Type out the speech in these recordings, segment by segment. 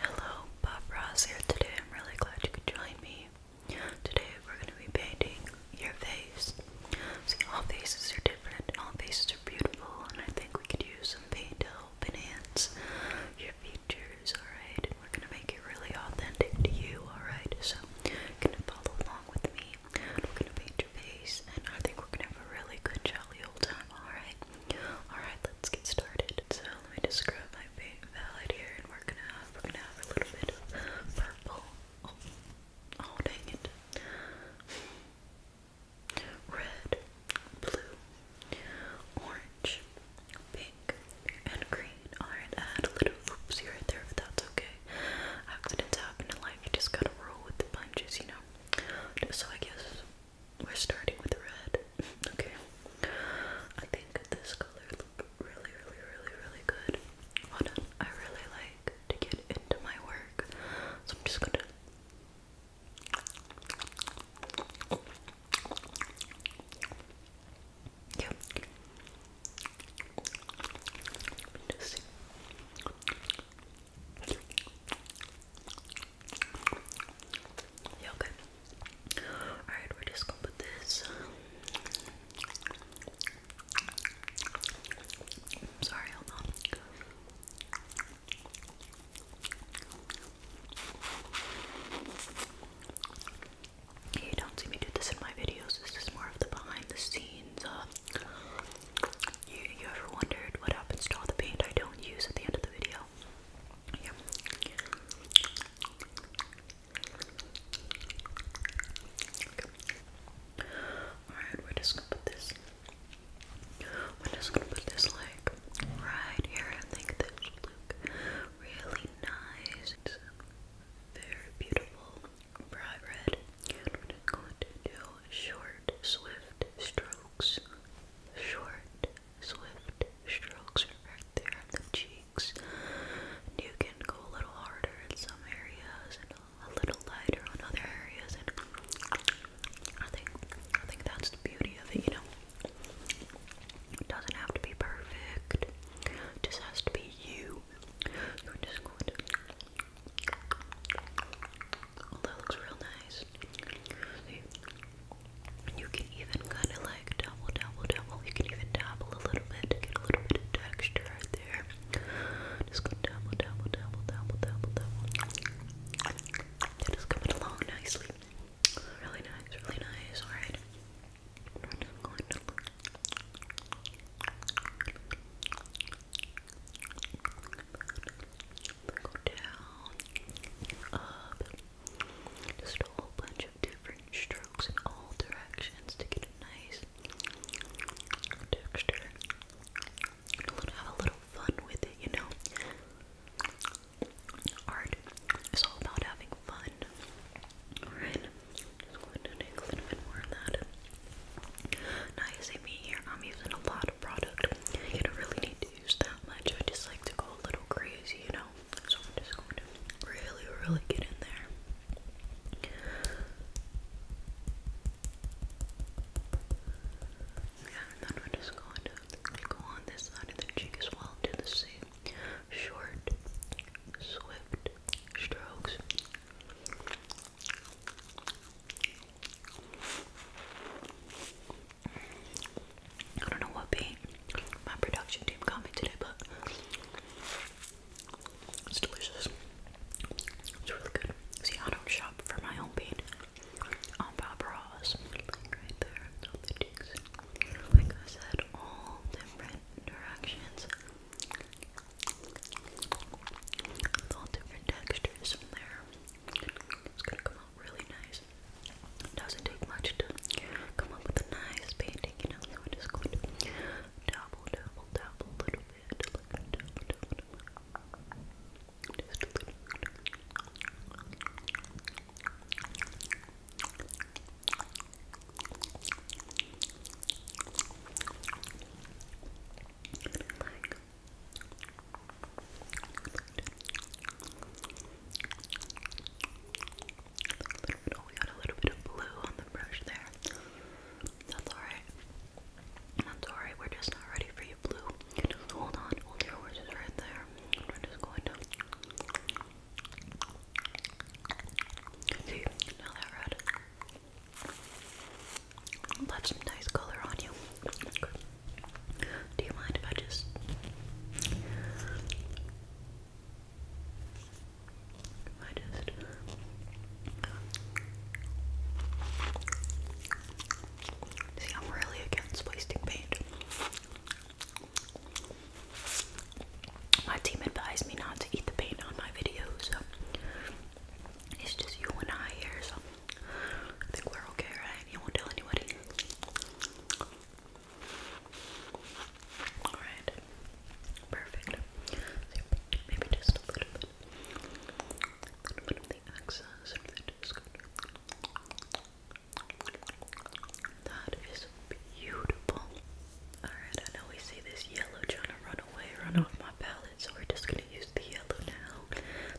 Hello, Bob Ross here today. I'm really glad you could join me. Today we're going to be painting your face. See, all faces are different all faces are beautiful, and I think we could use some paint to help enhance your features, alright? we're going to make it really authentic to you, alright? So, you're going to follow along with me. We're going to paint your face, and I think we're going to have a really good, jolly old time, alright? Alright, let's get started. So let me just scrub my paint palette here, and we're gonna have we're gonna have a little bit of purple. Oh, oh dang it! Red, blue, orange, pink, and green. Alright, add a little oopsie right there, but that's okay. Accidents happen in life. You just gotta roll with the punches, you know. So I guess we're starting with red. okay. I think this color looks really, really, really, really good. I really like to get into my work. So I'm just gonna yeah, okay. Alright, we're just gonna put this. I'm um, sorry, hold on. You don't see me do this in my videos. This is more of the behind the scenes. Uh, you, you ever wondered what happens to all the paint I don't use at the end of the video? Alright, we're just gonna put this. We're just gonna put this like right here. I think this look really nice. It's very beautiful, bright red. going to do short, swift strokes. Short, swift strokes right there on the cheeks. And you can go a little harder in some areas and a little lighter on other areas. And I think I think that's the beauty of it, you know. It doesn't have to be perfect. It just has to be you. Oh, that looks real nice. You can even kind of like double, double, double. You can even dabble a little bit to get a little bit of texture right there. Just go double, double, double, double, double, double. It is coming along nicely. Really nice, really nice. Alright. I'm just going to look. Go down, up, just a whole bunch of different strokes in all directions to get a nice texture. Have a little fun with it, you know. Art is all about having fun. Alright, just going to take a bit more of that. Now you see me here, I'm using a lot of product. You don't really need use that much. I just like to go a little crazy, you know? So I'm just going to really, really get in there. Yeah, and then we're just going to go on this side of the cheek as well. Do the same short, swift strokes. I don't know what beat my production team got me today, but it's delicious. It's really good. See, I don't shop for my own bean on Bob Ross. Like I said, all different directions. all different textures from there really nice. doesn't take much to come up with a nice painting, you know, so we're just going to dabble, dabble, dabble a little bit. Like, dabble, dabble, a little like, like, like, like, like, a we got a little bit of blue on the brush there. That's alright. That's alright, we're just not ready for you, blue. hold on, hold your horses right there. We're just going to. See, now that red. That's some nice color on you. Do you mind if I just I just uh, See, I'm really against wasting paint. My team advised me not to eat the paint on my videos. It's just you and I here, so I think we're okay, right? You won't tell anybody. Alright. Perfect. maybe just a little bit. A little bit of the excess of the disc. That is beautiful. Alright, I know we see this yellow trying to run away, run off my palette, so we're just gonna use the yellow now.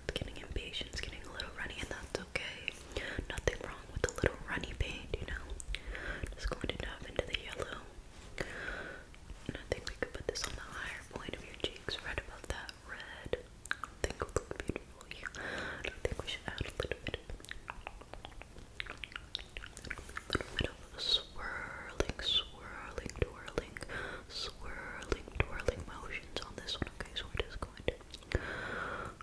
It's getting impatient, it's getting a little runny, and that's okay. Nothing wrong with a little runny paint, you know. Just going to dive into the yellow. I think we could put this on the higher point of your cheeks, right above that red. think it would look beautiful I think we should add a little bit a little bit of swirling, swirling, twirling, swirling, twirling motions on this one. Okay, so we're just going to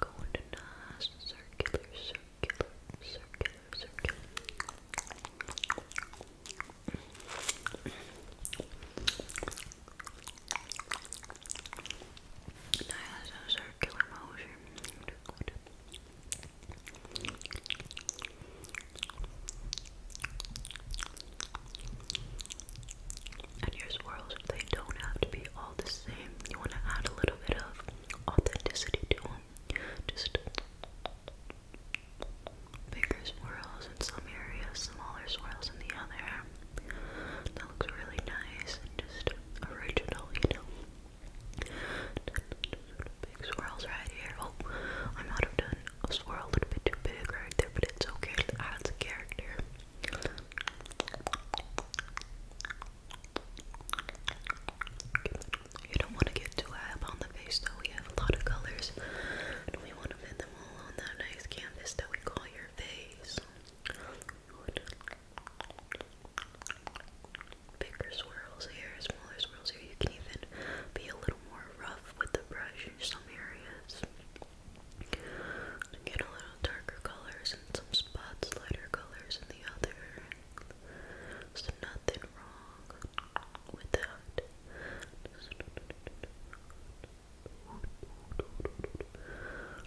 Go into nice circular, circular, circular, circular. motion. And your swirls, they don't have to be all the just you want to add a little bit of authenticity to them. Just bigger swirls in some areas, smaller swirls in the other. That looks really nice and just original, you know. Big swirls right here. Oh, I am might of done a swirl a little bit too big right there, but it's okay. It adds a character. You don't want to get too high up on the face though. We have a lot of colors and we want to fit them all on that nice canvas that we call your face. Bigger swirls here, smaller swirls here. You can even be a little more rough with the brush in some areas. Again, a little darker colors in some spots, lighter colors in the other. There's nothing wrong with that.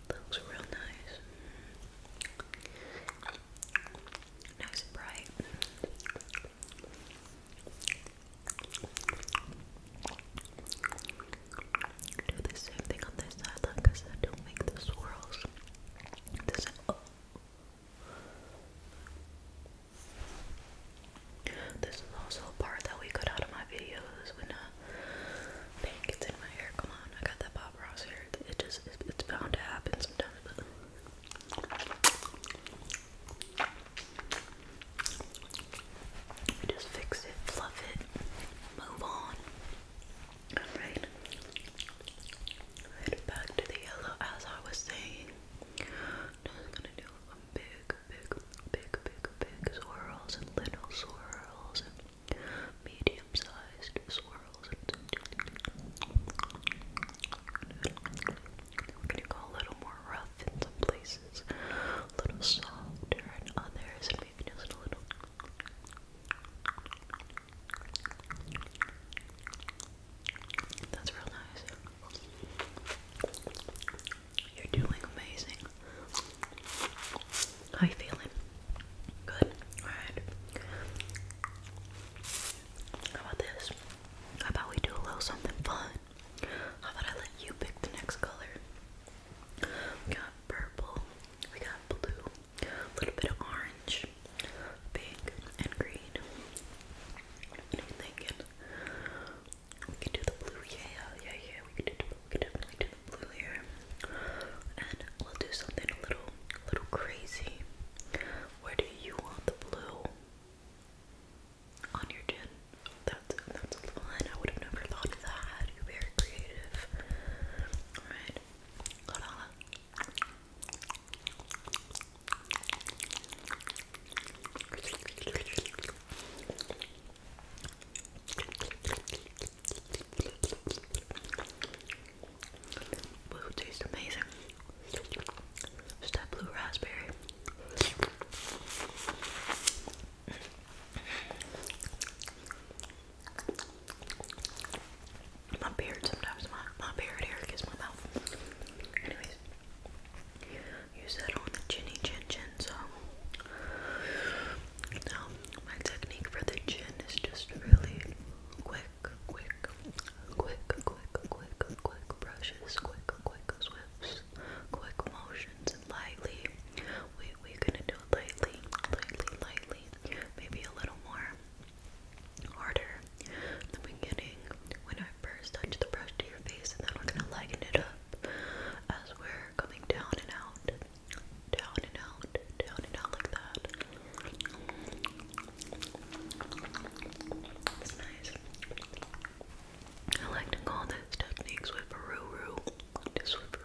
Looks real nice. Nice and bright do the same thing on this side, like I don't make the swirls. Oh. This is also a part that we cut out of my videos when uh paint gets in my hair. Come on, I got that Bob Ross hair. It just it's bound to happen sometimes, just fix it, fluff it, move on. Alright. back to the yellow as I was saying. I'm gonna do a big, big, big, big, big swirls and little swirls and medium-sized swirls and we go a little more rough in some places, a little softer in others, and maybe just a little that's real nice. You're doing amazing. How you feeling? Good. Alright. How about this? How about we do a little something fun? How about I let you pick the next color? We got purple, we got blue, a little bit of orange, pink, and green. What are you thinking? We can do the blue, yeah, yeah, yeah. We can, do, we can definitely do the blue here, and we'll do something a little, little crazy. Where do you want the blue? On your chin. That's that's fun. I would have never thought that. You're very creative. Alright, good. Hold tastes amazing. Just that blue raspberry. My beard sometimes, my, my beard hair gets my mouth. Anyways, use that on the chinny chin chin. So, now my technique for the chin is just really quick, quick, quick, quick, quick, quick brushes, quick, quick swifts, quick motions, lightly. We we gonna do it lightly, lightly, lightly. Maybe a little more harder in beginning when I first touch the brush to your face and then we're gonna lighten it up as we're coming down and out, down and out, down and out like that. It's nice. I like to call this technique swifferoo-roo. Just swifferoo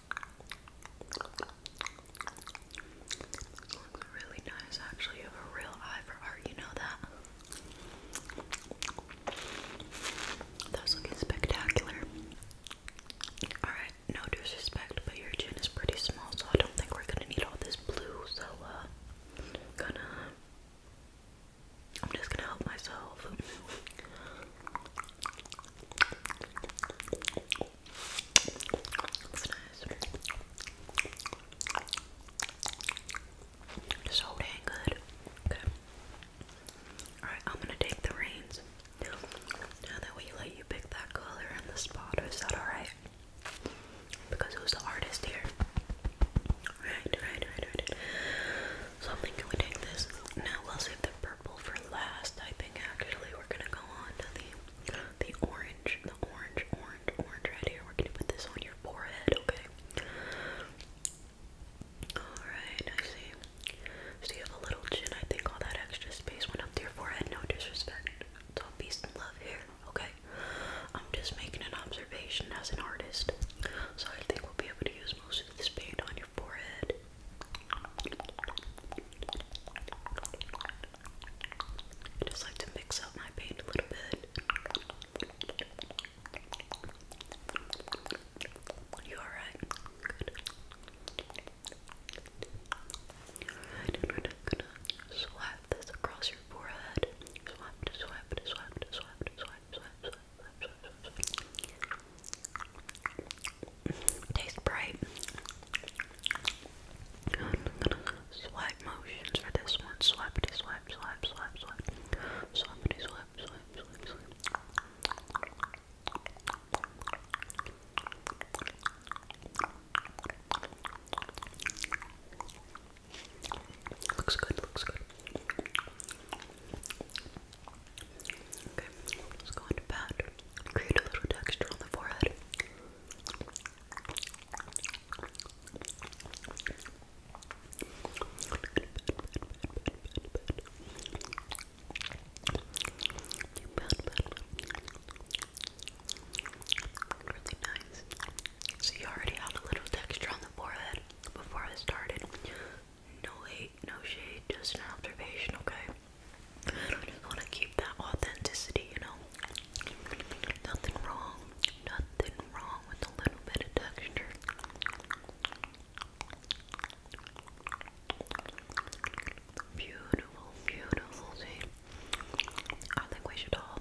looks really nice actually. You have a real eye for art, you know that? That's looking spectacular. Alright, no disrespect, but your chin is pretty small, so I don't think we're gonna need all this blue, so uh gonna I'm just gonna help myself. It's So dang good. Okay. Alright, I'm gonna take the reins. Now that we let you pick that color and the spot, is that alright? Because who's the artist here? Right, right, right, right. So I'm thinking we take this. Now we'll save the for last, I think actually we're gonna go on the the orange, the orange, orange, orange right here. We're gonna put this on your forehead, okay? Alright, I see. So you have a little chin, I think all that extra space went up to your forehead, no disrespect. It's all peace and love here, okay? I'm just making an observation as an artist. So I think we'll be able to use most of this paint on your forehead I just like to mix up my paint a little bit. You alright? Good. Alright, and gonna swipe this across your forehead. Swipe, swipe, swipe, swipe, swipe, swipe, swipe, swipe, swipe, Tastes bright. I'm gonna swipe motions for this one. Swipety swipe, swipe, swipe, swipe. Swipety swipe, swipe, swipe, swipe. Looks good, looks good. Okay, let's go into pat. Create a little texture on the forehead. Really nice. So you already had a little texture on the forehead before I started. No hate, no shade, just an observation, okay? want to keep that authenticity, you know? Nothing wrong, nothing wrong with a little bit of texture. Beautiful, beautiful, see? I think we should all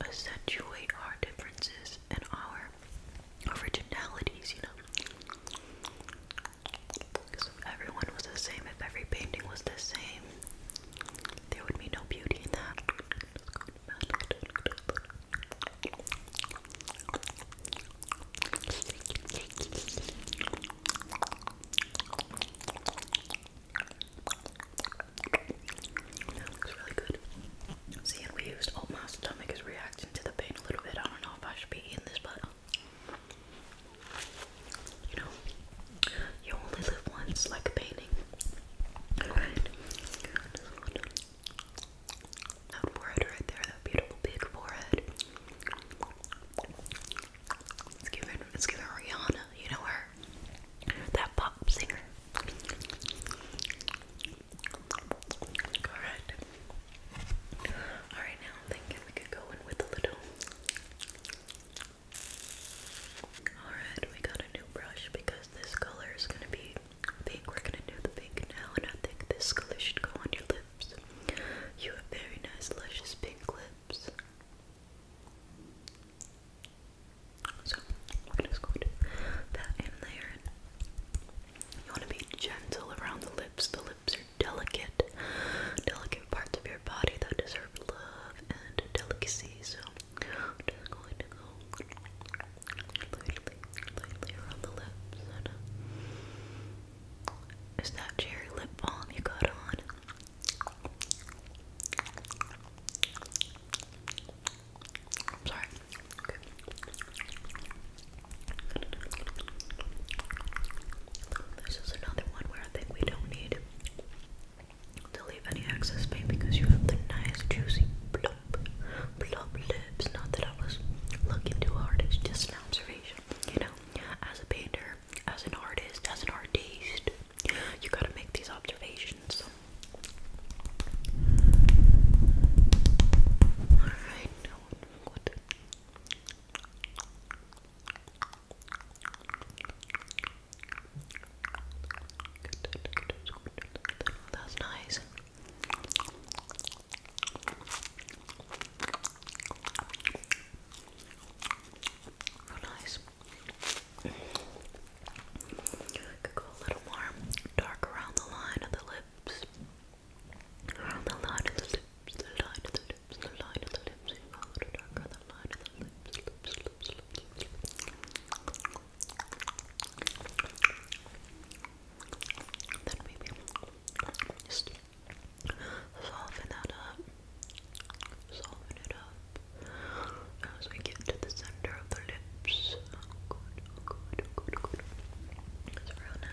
accentuate our differences and our originalities, you know? if everyone was the same, if every painting was the same, there would be no beauty in that. That looks really good. See, and we used old oh, my stomach is reacting to the pain a little bit. I don't know if I should be eating this, but you know, you only live once, like a painting. Alright? That forehead right there, that beautiful big forehead. Let's give her, let's give Rihanna, you know her? That pop singer. Alright. Alright, now I'm thinking we could go in with a little. Alright, we got a new brush because this color is gonna be pink. We're gonna do the pink now, and I think this color should go on your lips. You have very nice, luscious pink lips. So, we're gonna just in there. You wanna be gentle around the lips, the lips delicate, delicate parts of your body that deserve love and delicacy. So I'm going to go lightly, lightly around the lips. Uh, is that cherry lip balm you got on? sorry. This is another one where I think we don't need to leave any excess paint because you have the nice juicy plump, plump lips. Not that I was looking too hard, it's just an observation. You know, as a painter, as an artist, as an artiste, you gotta make these observations. Alright, now what? That's nice. nice. go a little more dark around the line of the lips. Around the line of the lips, the line of the lips, the line of the lips, you follow the the line of the lips, Then maybe just soften that up, soften it up as we get to the center of the lips. Oh, good, oh, good, oh, good, oh, good. It's real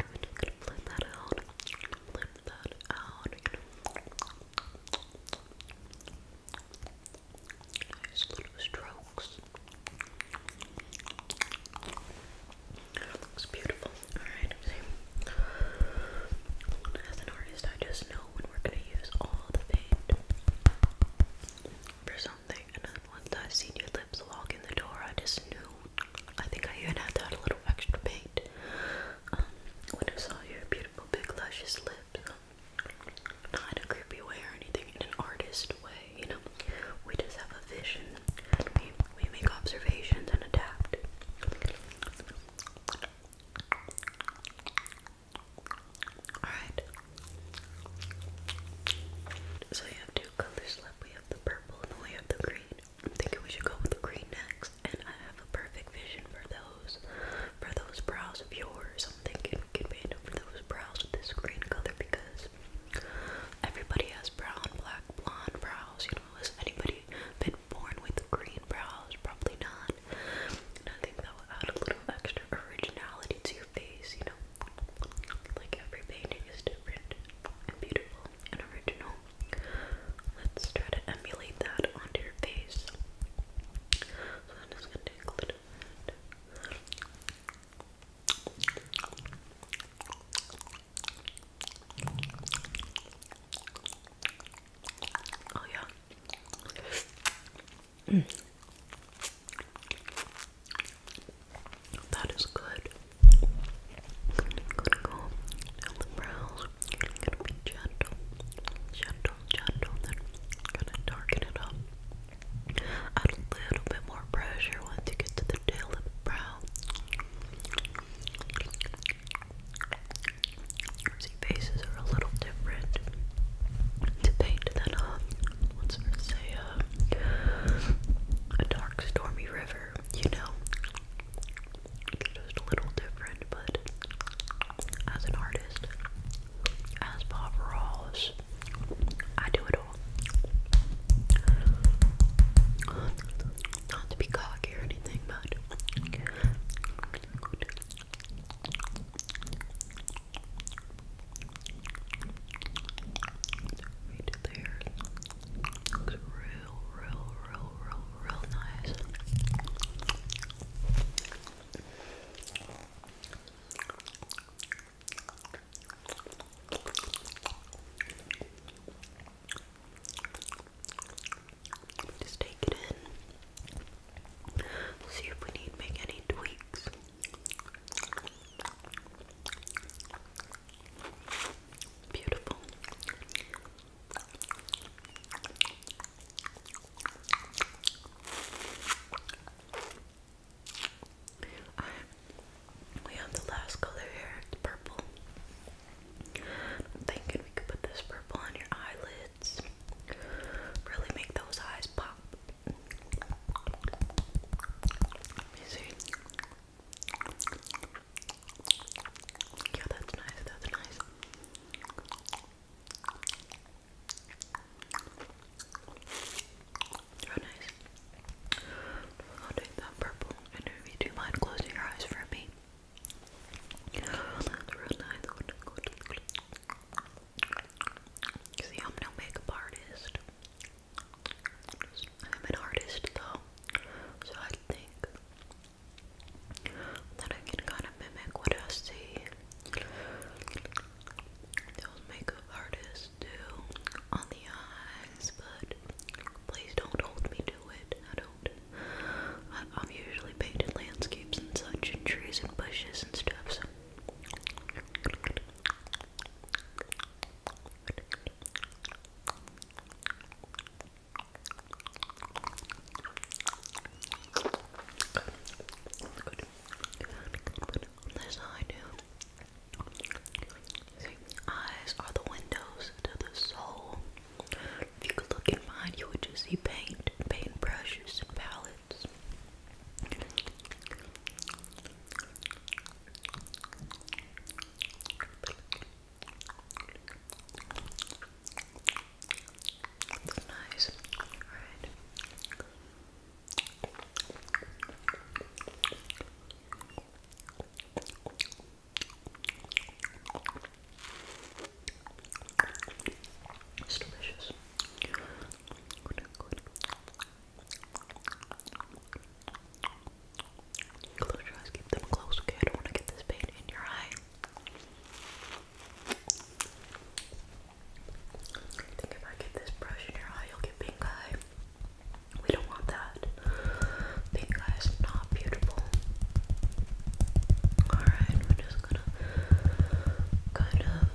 I'm just gonna blend that out. Blend that out. Nice little strokes. looks beautiful. Alright, As an artist, I just know when we're gonna use all the paint for something, and then I seen your lips walk in the door, I just knew I think I even had to add a little extra paint um, when I saw your beautiful big luscious lips. Not in a creepy way or anything, in an artist way, you know. We just have a vision and we, we make observations and adapt. Alright. So you have two colors left. We have the purple and we have the green. I'm thinking we should go with the green next, and I have a perfect vision for those, for those brows of yours. I'm thinking we can paint over those brows with this green color because everybody has brown, black, blonde brows. You know, has anybody been born with green brows? Probably not. And I think that will add a little extra originality to your face. You know, like every painting is different and beautiful and original. Let's try to emulate that onto your face. Oh yeah. Mm. That is good gonna go down the brows. gonna be gentle, gentle, gentle, then gonna darken it up. a little bit more pressure once you get to the tail of the brow. See, faces are a little different to paint than um, let's say uh, a dark, stormy river. You know, just a little different, but as an artist, as Bob Ross, I do it all. Not to be cocky or anything, but right there. Looks real, real, real, real, real nice. Just take it in. See if we need make any tweaks. Beautiful we have the last color here, purple. I'm thinking we could put this purple on your eyelids. Really make those eyes pop. Let me see. Yeah, that's nice, that's nice. Very nice. I'll take that purple. And you mind closing your eyes for me. See, I'm no makeup artist. I'm an artist though. So I think then I can kind of mimic what I see those makeup artists do on the eyes, but please don't hold me to it. I don't. I, am usually painting landscapes and such, and trees and bushes and stuff. So. Good. Good. On this eyes are the windows to the soul. If you could look in mine, you would just see paint, paint brushes, and palettes. That's nice. Alright. It's delicious. Close your eyes, keep them closed, okay? I don't want to get this pain in your eye. I think if I get this brush in your eye, you'll get pink eye. We don't want that. Pink eye is not beautiful. Alright, we're just gonna kind of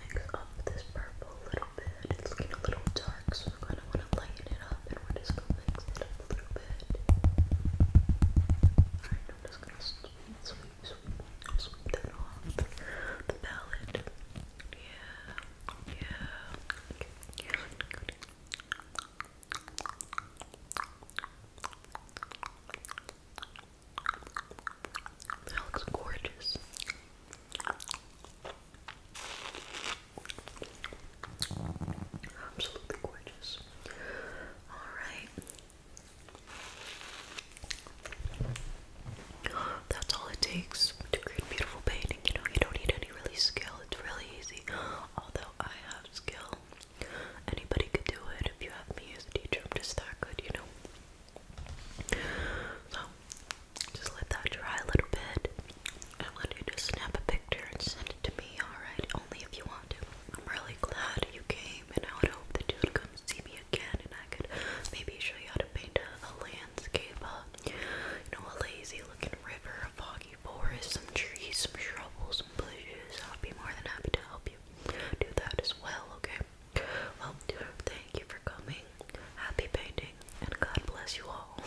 mix up this purple a little bit. It's looking a little dark, so I kind of want to lighten tighten it I'm just gonna sweep, sweep, sweep, sweep that off the palette. Yeah, yeah. yeah, That looks gorgeous. Absolutely gorgeous. Alright. That's all it takes to create beautiful painting. You know, you don't need any really skill. It's really easy. Although I have skill. Anybody could do it if you have me as teacher. I'm just that good, you know. So just let that dry a little bit. I want you to snap a picture and send it to me, alright? Only if you want to. I'm really glad you came, and I would hope that you would come see me again, and I could maybe show you how to paint a, landscape, uh, you know, a lazy-looking river, a foggy forest, some trees, some shrubs, some bushes. I'd be more than happy to help you do that as well, okay? Well, thank you for coming. Happy painting, and God bless you all.